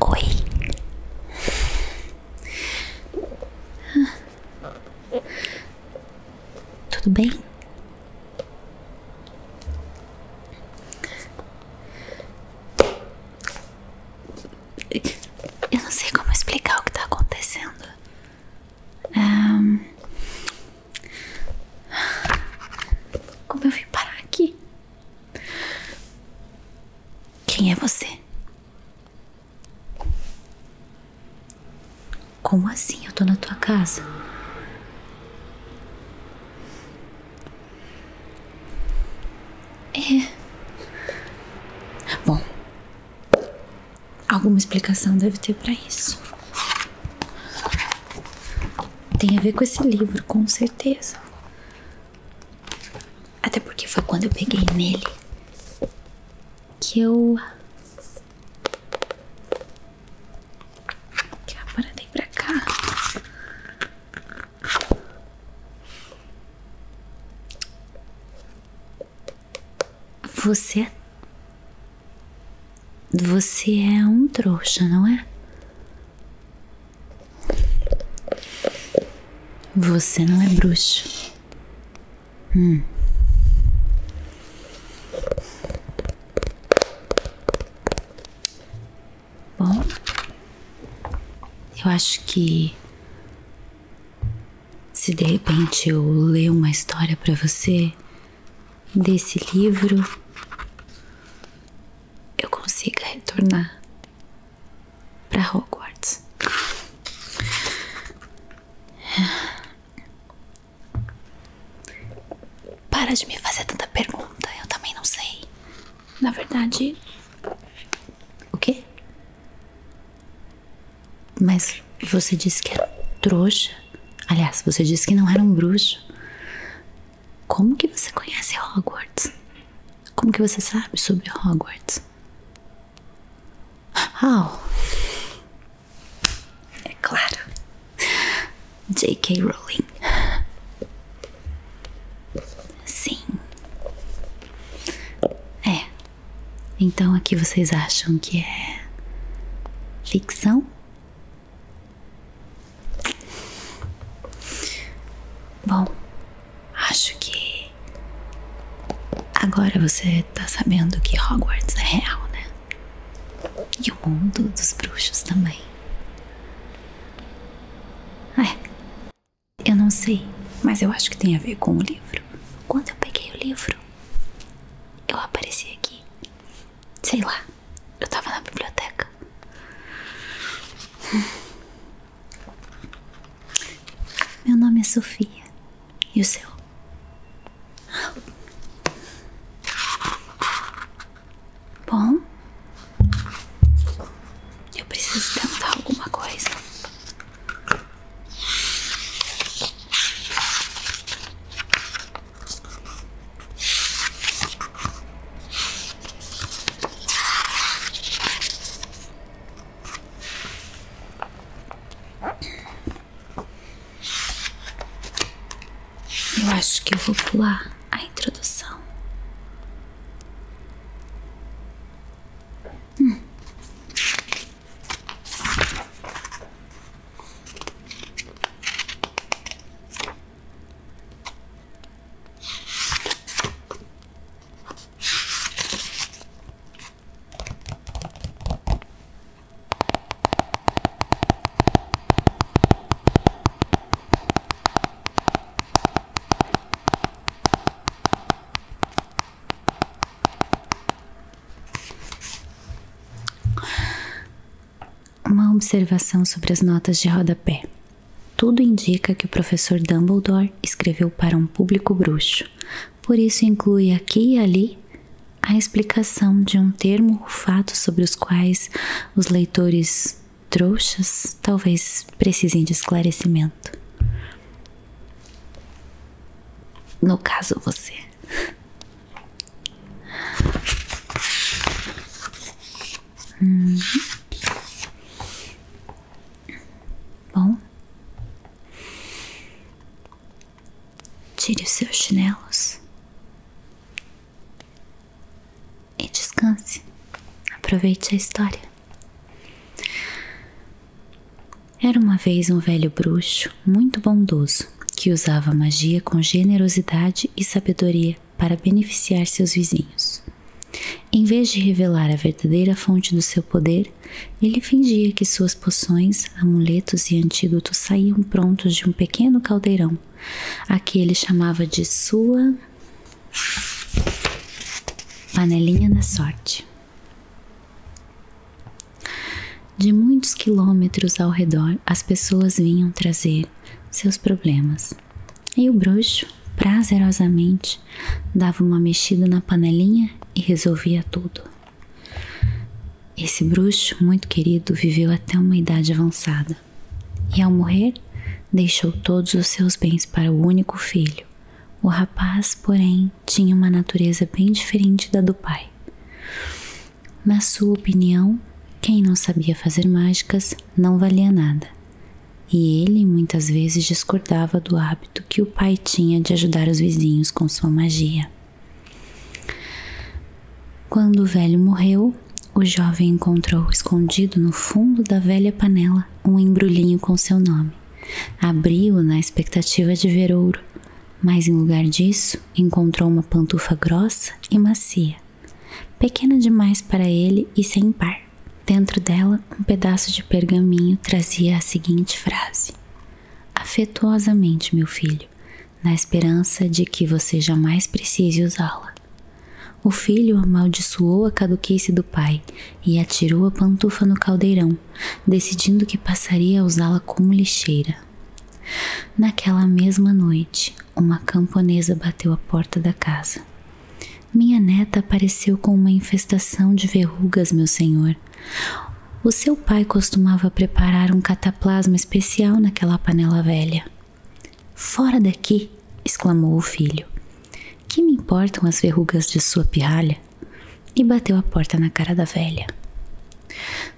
Oi. Tudo bem? Eu não sei como explicar o que está acontecendo. como eu vim parar aqui? Quem é você? Como assim eu estou na tua casa? É. Bom, alguma explicação deve ter para isso. Tem a ver com esse livro, com certeza. Até porque foi quando eu peguei nele que eu. que eu aparadei pra cá. Você. É- você é um trouxa, não é? Você não é bruxo. Hum. Bom, eu acho que se de repente eu ler uma história para você desse livro, eu consiga retornar para Hogwarts. Para de me fazer tanta pergunta, eu também não sei. Na verdade. O quê? Mas você disse que era trouxa. Aliás, você disse que não era um bruxo. Como que você conhece Hogwarts? Como que você sabe sobre Hogwarts? How? É claro. J.K. Rowling. Sim. É. Então aqui vocês acham que é ficção? Bom, acho que agora você tá sabendo que Hogwarts é real, né? E o mundo dos bruxos também. É, eu não sei, mas eu acho que tem a ver com o livro. Quando eu peguei o livro, eu apareci aqui. Sei lá, eu tava na biblioteca. Meu nome é Sofia. E o seu? Bom, eu preciso tentar alguma coisa. Eu acho que eu vou pular a introdução. Uma observação sobre as notas de rodapé. Tudo indica que o professor Dumbledore escreveu para um público bruxo, por isso inclui aqui e ali a explicação de um termo ou fato sobre os quais os leitores trouxas talvez precisem de esclarecimento. No caso, você. Hum. Bom, tire os seus chinelos e descanse. Aproveite a história. Era uma vez um velho bruxo muito bondoso que usava magia com generosidade e sabedoria para beneficiar seus vizinhos. Em vez de revelar a verdadeira fonte do seu poder, ele fingia que suas poções amuletos e antídotos saíam prontos de um pequeno caldeirão, a que ele chamava de sua panelinha da sorte. De muitos quilômetros ao redor, as pessoas vinham trazer seus problemas. E o bruxo, prazerosamente, dava uma mexida na panelinha e resolvia tudo. Esse bruxo muito querido viveu até uma idade avançada e, ao morrer, deixou todos os seus bens para o único filho. O rapaz, porém, tinha uma natureza bem diferente da do pai. Na sua opinião, quem não sabia fazer mágicas não valia nada, e ele muitas vezes discordava do hábito que o pai tinha de ajudar os vizinhos com sua magia. Quando o velho morreu, o jovem encontrou escondido no fundo da velha panela um embrulhinho com seu nome. Abriu na expectativa de ver ouro, mas em lugar disso encontrou uma pantufa grossa e macia, pequena demais para ele e sem par. Dentro dela, um pedaço de pergaminho trazia a seguinte frase: Afetuosamente, meu filho, na esperança de que você jamais precise usá-la. O filho amaldiçoou a caduquice do pai e atirou a pantufa no caldeirão, decidindo que passaria a usá-la como lixeira. Naquela mesma noite, uma camponesa bateu à porta da casa. Minha neta apareceu com uma infestação de verrugas, meu senhor. O seu pai costumava preparar um cataplasma especial naquela panela velha. Fora daqui! exclamou o filho. Que me importam as verrugas de sua pirralha? E bateu a porta na cara da velha.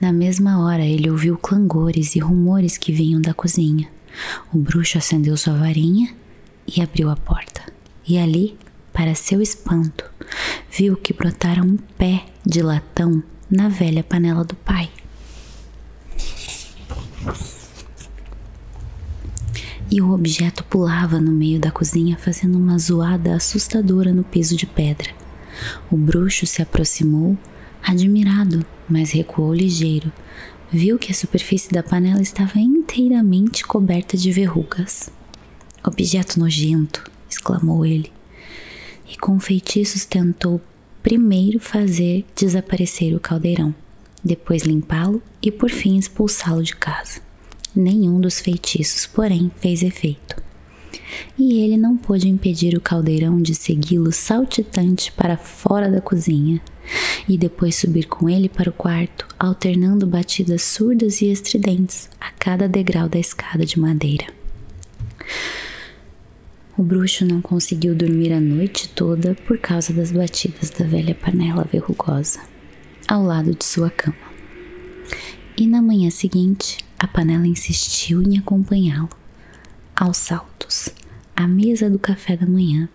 Na mesma hora, ele ouviu clangores e rumores que vinham da cozinha. O bruxo acendeu sua varinha e abriu a porta. E ali, para seu espanto, viu que brotara um pé de latão na velha panela do pai. E o objeto pulava no meio da cozinha, fazendo uma zoada assustadora no piso de pedra. O bruxo se aproximou, admirado, mas recuou ligeiro. Viu que a superfície da panela estava inteiramente coberta de verrugas. Objeto nojento! exclamou ele, e com feitiços tentou primeiro fazer desaparecer o caldeirão, depois limpá-lo e por fim expulsá-lo de casa. Nenhum dos feitiços, porém, fez efeito. E ele não pôde impedir o caldeirão de segui-lo saltitante para fora da cozinha e depois subir com ele para o quarto, alternando batidas surdas e estridentes a cada degrau da escada de madeira. O bruxo não conseguiu dormir a noite toda por causa das batidas da velha panela verrugosa ao lado de sua cama. E na manhã seguinte, a panela insistiu em acompanhá-lo aos saltos à mesa do café da manhã.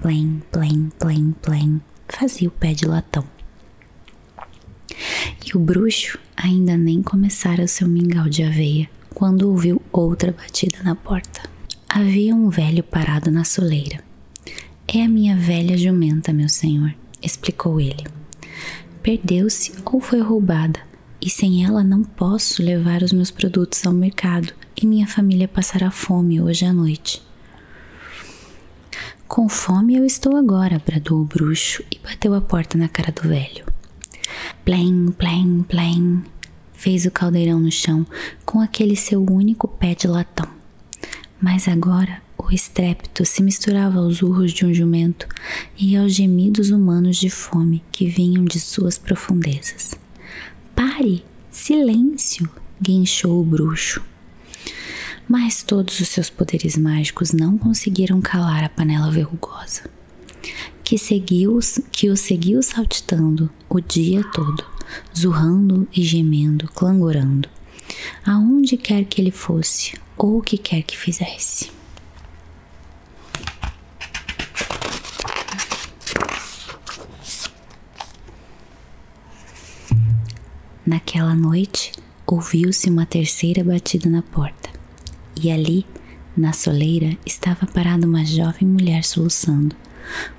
Plém, plém, plém, plém, fazia o pé de latão. E o bruxo ainda nem começara o seu mingau de aveia quando ouviu outra batida na porta. Havia um velho parado na soleira. É a minha velha jumenta, meu senhor, explicou ele. Perdeu-se ou foi roubada, e sem ela não posso levar os meus produtos ao mercado e minha família passará fome hoje à noite. Com fome eu estou agora, bradou o bruxo e bateu a porta na cara do velho. Plém, plém, plém, fez o caldeirão no chão com aquele seu único pé de latão. Mas agora o estrépito se misturava aos urros de um jumento e aos gemidos humanos de fome que vinham de suas profundezas. Pare! Silêncio! guinchou o bruxo. Mas todos os seus poderes mágicos não conseguiram calar a panela verrugosa, que, seguiu, que o seguiu saltitando o dia todo, zurrando e gemendo, clangorando, aonde quer que ele fosse ou o que quer que fizesse. Naquela noite, ouviu-se uma terceira batida na porta, e ali, na soleira, estava parada uma jovem mulher soluçando,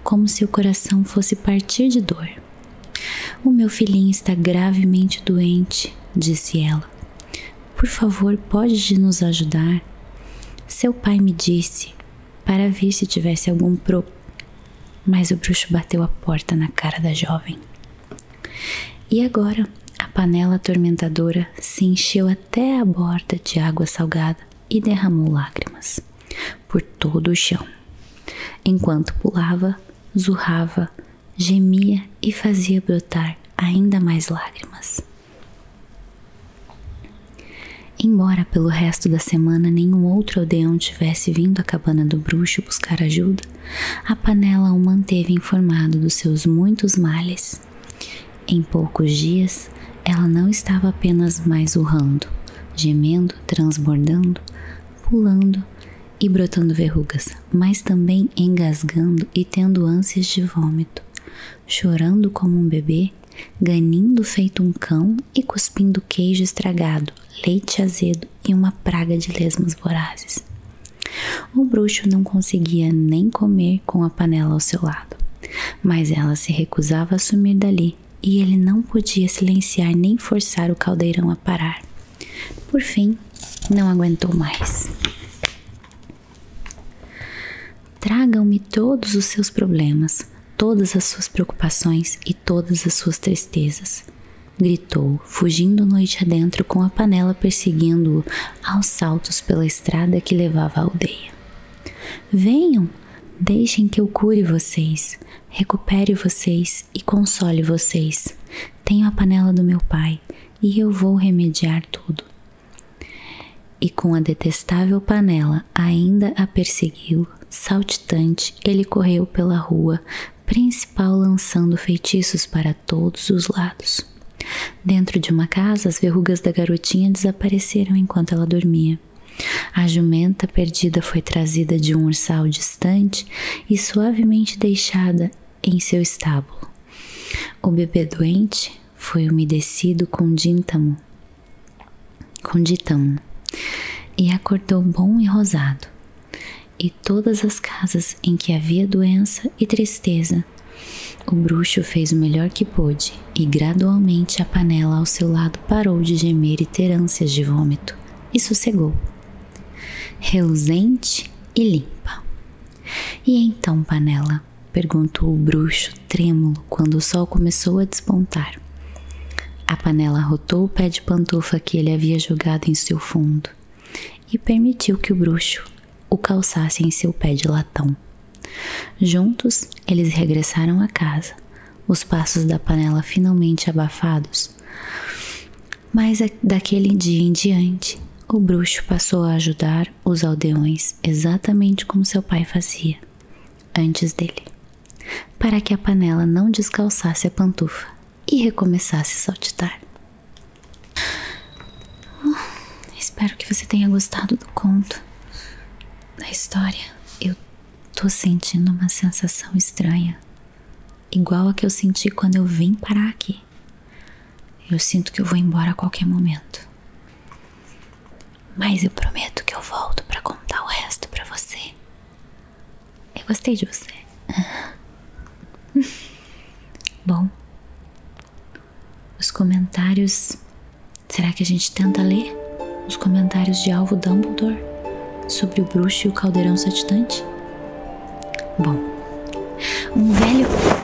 como se o coração fosse partir de dor. O meu filhinho está gravemente doente, disse ela. Por favor, pode nos ajudar? Seu pai me disse para ver se tivesse algum pro mas o bruxo bateu a porta na cara da jovem. E agora a panela atormentadora se encheu até a borda de água salgada e derramou lágrimas por todo o chão. Enquanto pulava, zurrava, gemia e fazia brotar ainda mais lágrimas. Embora pelo resto da semana nenhum outro aldeão tivesse vindo à cabana do bruxo buscar ajuda, a panela o manteve informado dos seus muitos males. Em poucos dias, ela não estava apenas mais urrando, gemendo, transbordando, pulando e brotando verrugas, mas também engasgando e tendo ânsias de vômito, chorando como um bebê ganindo feito um cão e cuspindo queijo estragado, leite azedo e uma praga de lesmas vorazes. O bruxo não conseguia nem comer com a panela ao seu lado, mas ela se recusava a sumir dali e ele não podia silenciar nem forçar o caldeirão a parar. Por fim, não aguentou mais. Tragam-me todos os seus problemas, todas as suas preocupações todas as suas tristezas. Gritou, fugindo noite adentro com a panela perseguindo-o aos saltos pela estrada que levava à aldeia. Venham, deixem que eu cure vocês, recupere vocês e console vocês. Tenho a panela do meu pai e eu vou remediar tudo. E com a detestável panela ainda a perseguiu, saltitante, ele correu pela rua principal lançando feitiços para todos os lados. Dentro de uma casa, as verrugas da garotinha desapareceram enquanto ela dormia. A jumenta perdida foi trazida de um ursal distante e suavemente deixada em seu estábulo. O bebê doente foi umedecido com díntamo conditão, e acordou bom e rosado. E todas as casas em que havia doença e tristeza, o bruxo fez o melhor que pôde, e gradualmente a panela ao seu lado parou de gemer e ter ânsias de vômito, e sossegou, reluzente e limpa. E então, panela? perguntou o bruxo, trêmulo quando o sol começou a despontar. A panela rotou o pé de pantufa que ele havia jogado em seu fundo e permitiu que o bruxo o calçasse em seu pé de latão. Juntos, eles regressaram à casa, os passos da panela finalmente abafados. Mas daquele dia em diante, o bruxo passou a ajudar os aldeões exatamente como seu pai fazia antes dele, para que a panela não descalçasse a pantufa e recomeçasse a saltitar. Hum, espero que você tenha gostado do conto, da história. Eu tô sentindo uma sensação estranha, igual a que eu senti quando eu vim parar aqui. Eu sinto que eu vou embora a qualquer momento. Mas eu prometo que eu volto para contar o resto para você. Eu gostei de você. Bom, os comentários. Será que a gente tenta ler os comentários de Alvo Dumbledore sobre o bruxo e o caldeirão satitante? Bom, um velho.